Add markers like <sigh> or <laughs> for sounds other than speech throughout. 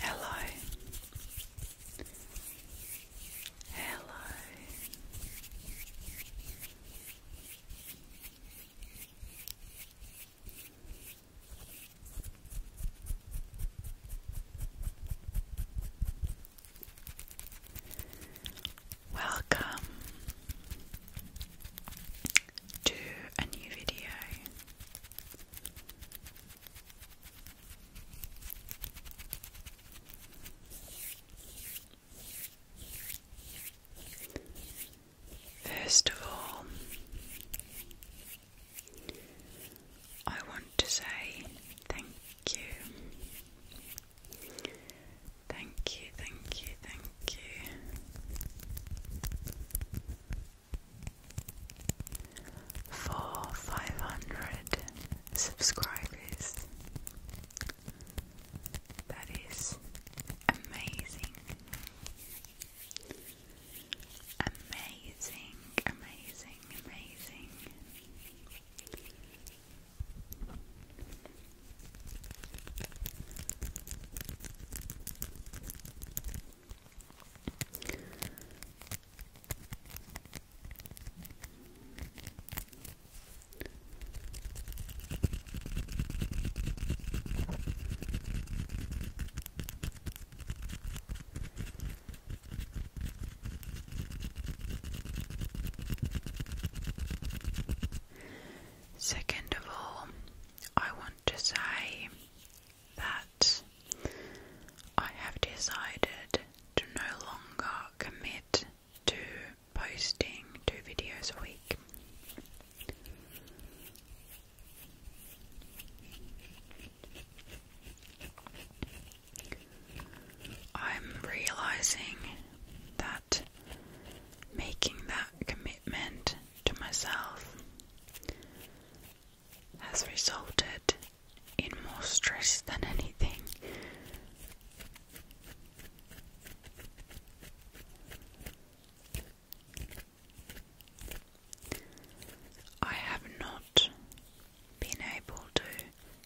Hello. Hello. Welcome to a new video. First of all, I want to say thank you. Thank you, thank you, thank you for 500 subscribers. That is amazing. Amazing, amazing, amazing. Second of all, I want to say that I have decided to no longer commit to posting two videos a week. I'm realizing that making that commitment to myself has resulted in more stress than anything. I have not been able to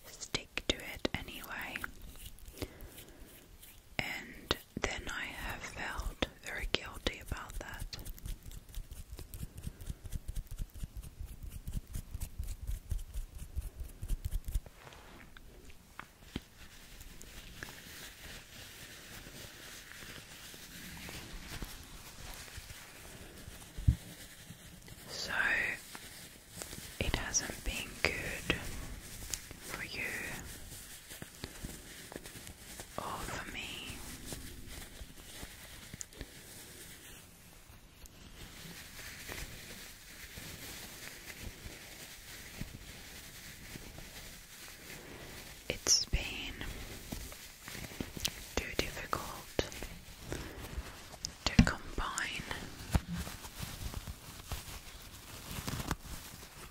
stick to it anyway, and then I have felt very guilty about that. So it hasn't been good for you over me. It's been too difficult to combine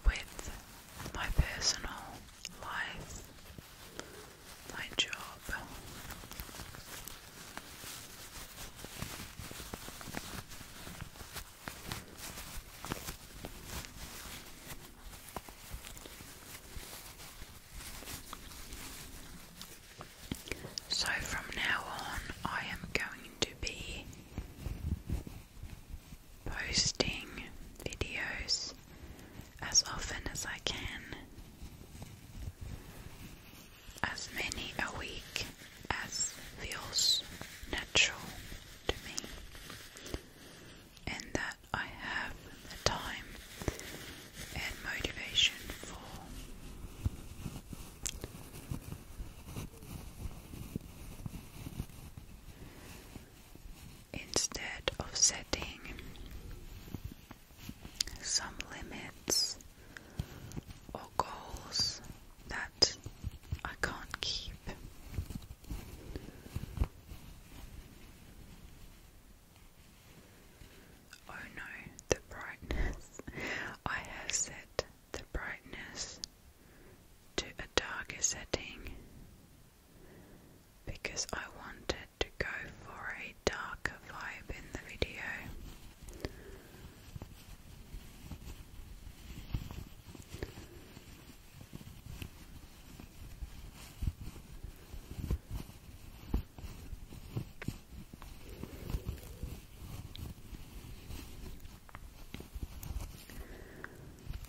with my personal life, my job. So from now on, I am going to be posting videos as often as I can, as many a week as feels natural to me, and that I have the time and motivation for. Instead of setting some limits or goals that I can't keep. Oh no, the brightness. <laughs> I have set the brightness to a darker setting because I wanted to go for a darker vibe in the video.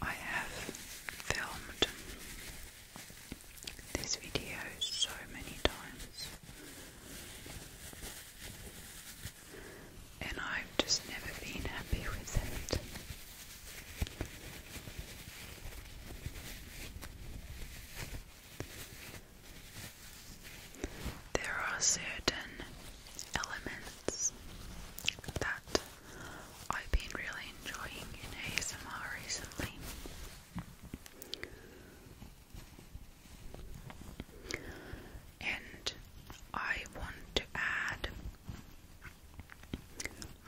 I have filmed this video so many times, and I've just never been happy with it. There are certain elements that I've been really enjoying in ASMR recently. And I want to add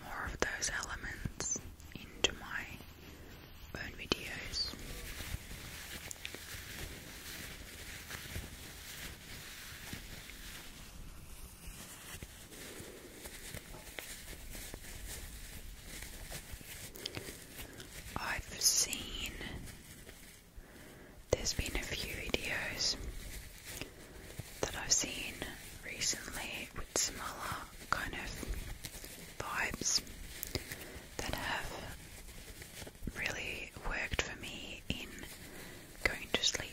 more of those elements into my own videos. I've seen there's been a few videos that I've seen recently with similar kind of vibes that have really worked for me in going to sleep.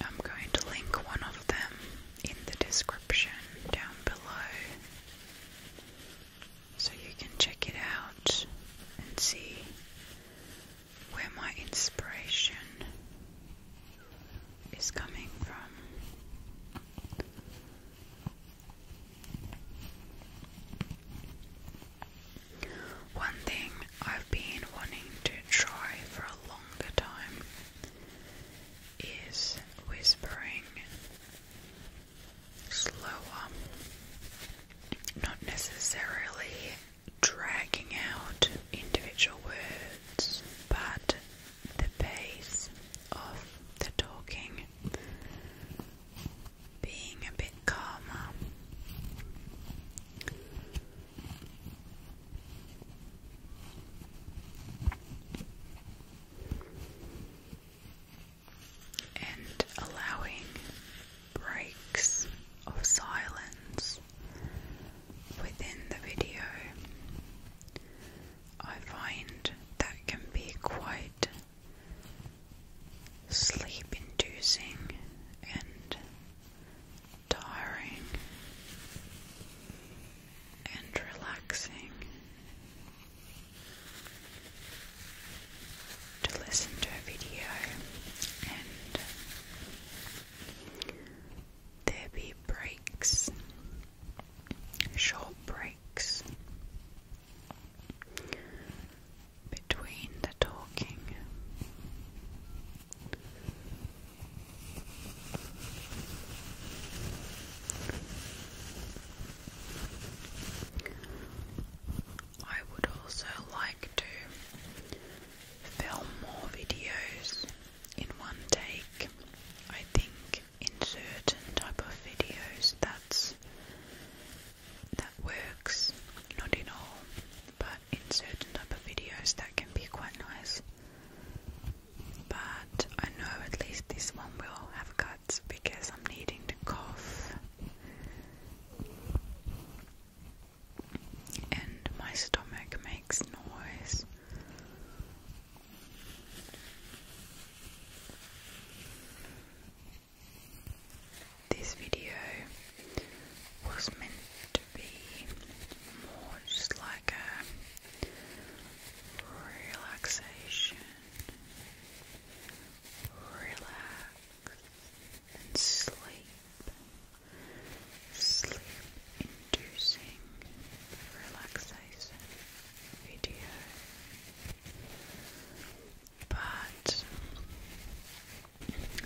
I'm going to link one of them in the description down below so you can check it out and see where my inspiration is coming from. One thing I've been wanting to try for a longer time is whispering slower, not necessarily dragging out individual words, but the pace of the talking being a bit calmer. And allowing breaks of silence within the video I find that can be quite sleep inducing and tiring and relaxing to listen to a video and there be breaks short breaks between the talking. I would also like to film more videos in one take. I think in certain type of videos that's that works, not in all, but in certain type of videos that can be quite nice. But I know at least this one will have cuts because I'm needing to cough. And my stomach makes noise this video was meant to be more just like a relaxation, relax and sleep sleep-inducing relaxation video, but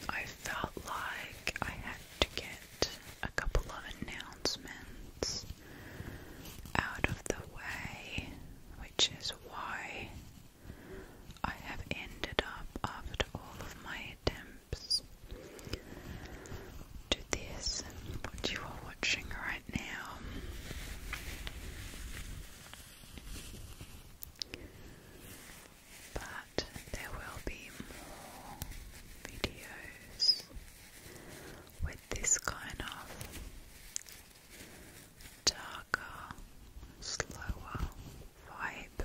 I felt like I had to get a couple of announcements out of the way, which is why I have ended up, after all of my attempts, maps this what you are watching right now. But there will be more videos with this kind of darker, slower vibe.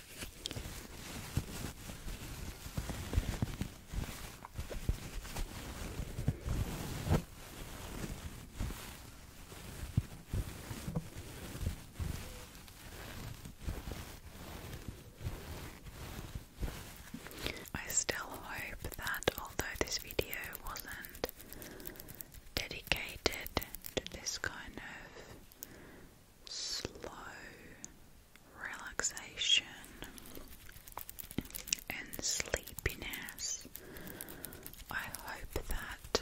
I still hope that although this video wasn't dedicated to this kind of slow relaxation and sleepiness. I hope that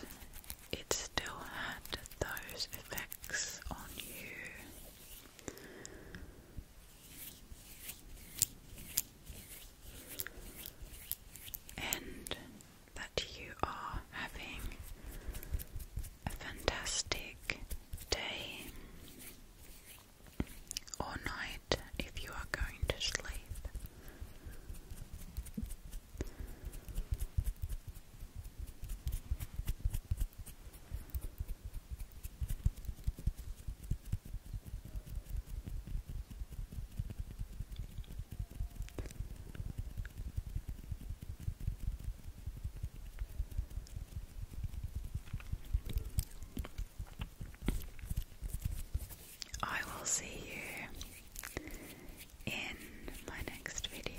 it still had those effects on you. And that you are having a fantastic day or night if you are going to sleep. I will see you in my next video.